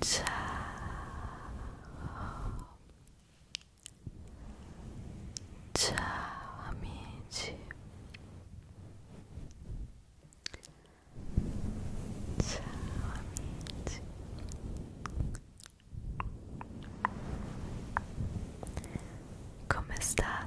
Ciao. Ciao amici. Ciao amici. Come state?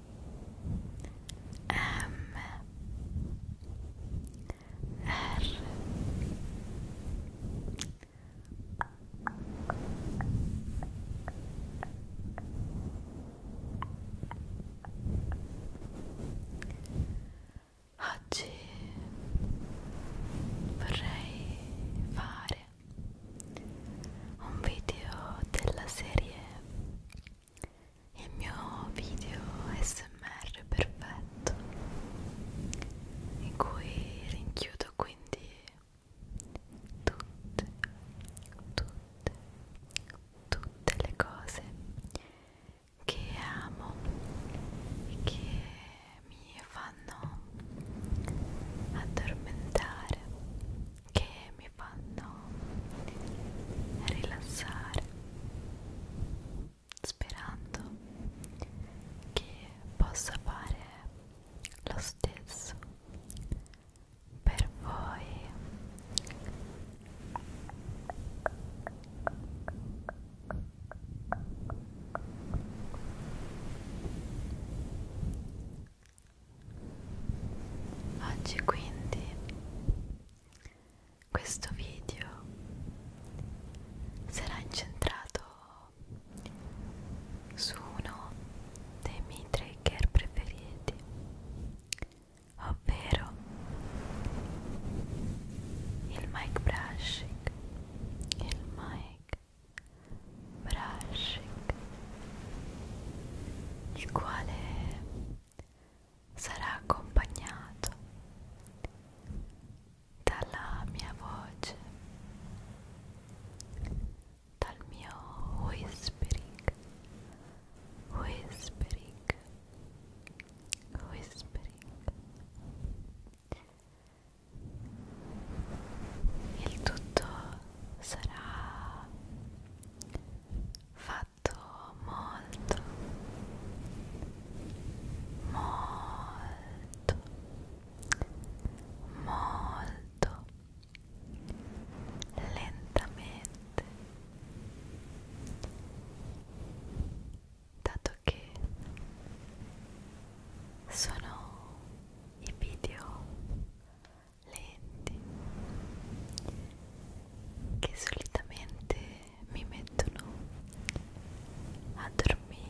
M R Oggi vorrei fare un video della serie il mio video smr perfetto in cui rinchiudo quindi tutte tutte tutte le cose che amo e che mi fanno addormentare che mi mi fanno rilassare sperando che possa fare lo stesso per voi Oggi quindi questo video sarà incentrato su uno dei miei trigger preferiti, ovvero il mic brushing, il mic brushing il quale sarà accompagnato dalla mia voce, dal mio whispering, whispering, whispering. Il tutto sarà fatto molto molto molto lentamente dato che sono i video lenti che solitamente mi mettono a dormire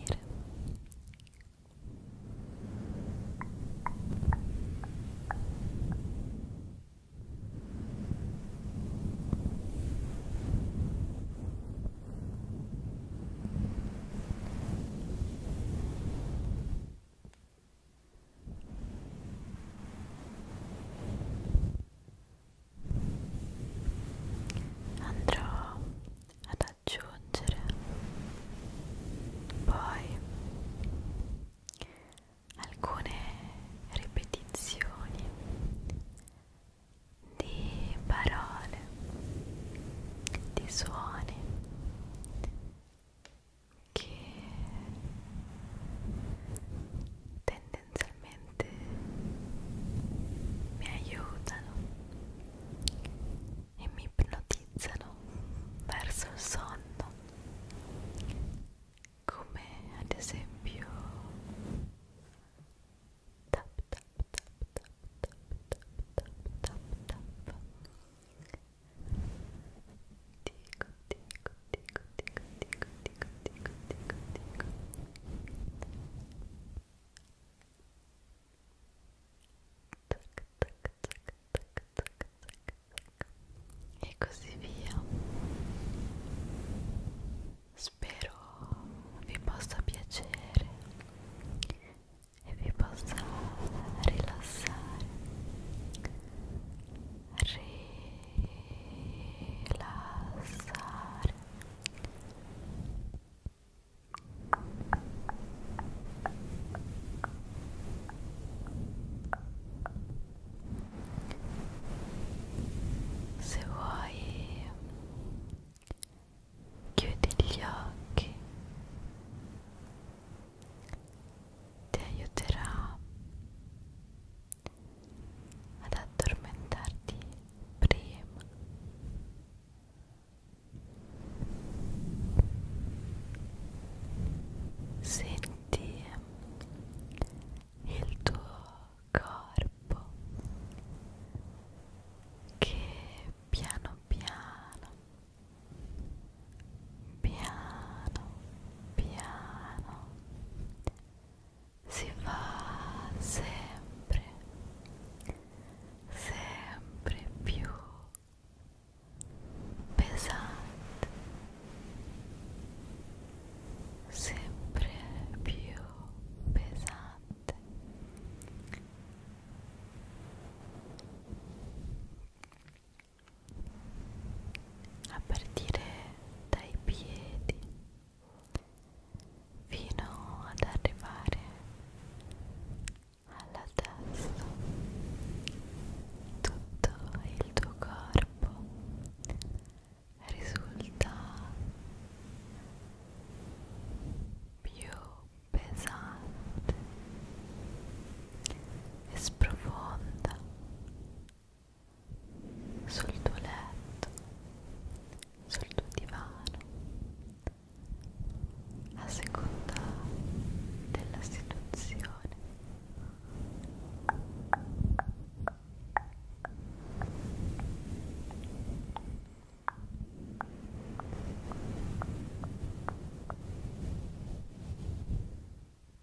andrò ad aggiungere poi alcune ripetizioni di parole, di suoni che tendenzialmente mi aiutano e mi ipnotizzano verso il sonno come ad esempio tap tap tap tap tap tap tap tap tap dico, dico, dico, dico, dico, dico, dico, dico, dico. Tac, tac, tac, tac, tac, tac, tac. E così via. Spero vi possa piacere e vi possa rilassare rilassare se vuoi chiudi gli occhi ti aiuterà ad addormentarti prima senti il tuo corpo che piano piano piano piano si fa sempre sempre più pesante sempre più pesante a partire dai piedi fino ad arrivare alla testa tutto il tuo corpo risulta più pesante e sprofonda sul tuo letto, sul tuo divano, a seconda della situazione.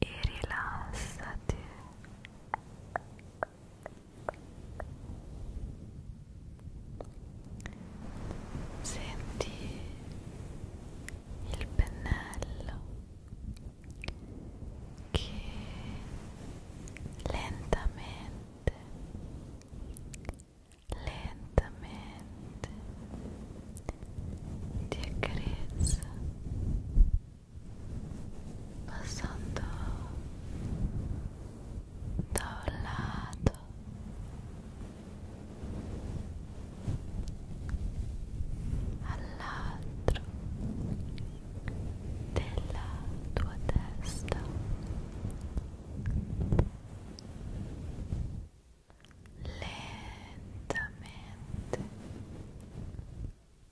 e rilassati senti il pennello che lentamente lentamente ti accarezza passando da un lato all'altro della tua testa lentamente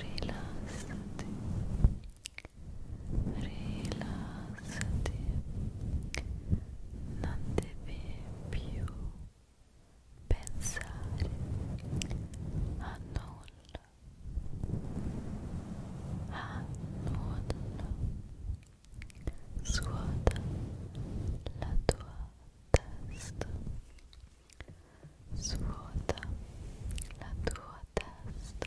rilassati rilassati rilassati non devi più pensare a nulla a nulla svuota la tua testa svuota la tua testa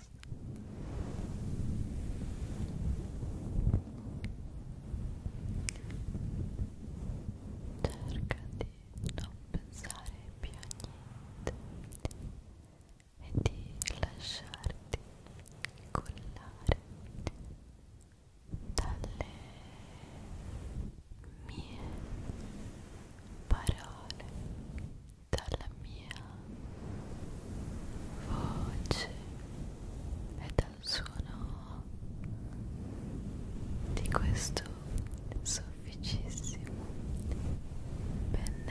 Cerca di non pensare più a niente e di lasciarti collare dalle mie parole dalla mia voce e dal suono di questo sofficissimo pennello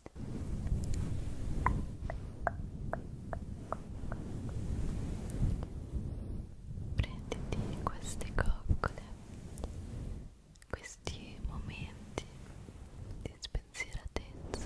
prenditi queste coccole questi momenti di spensieratezza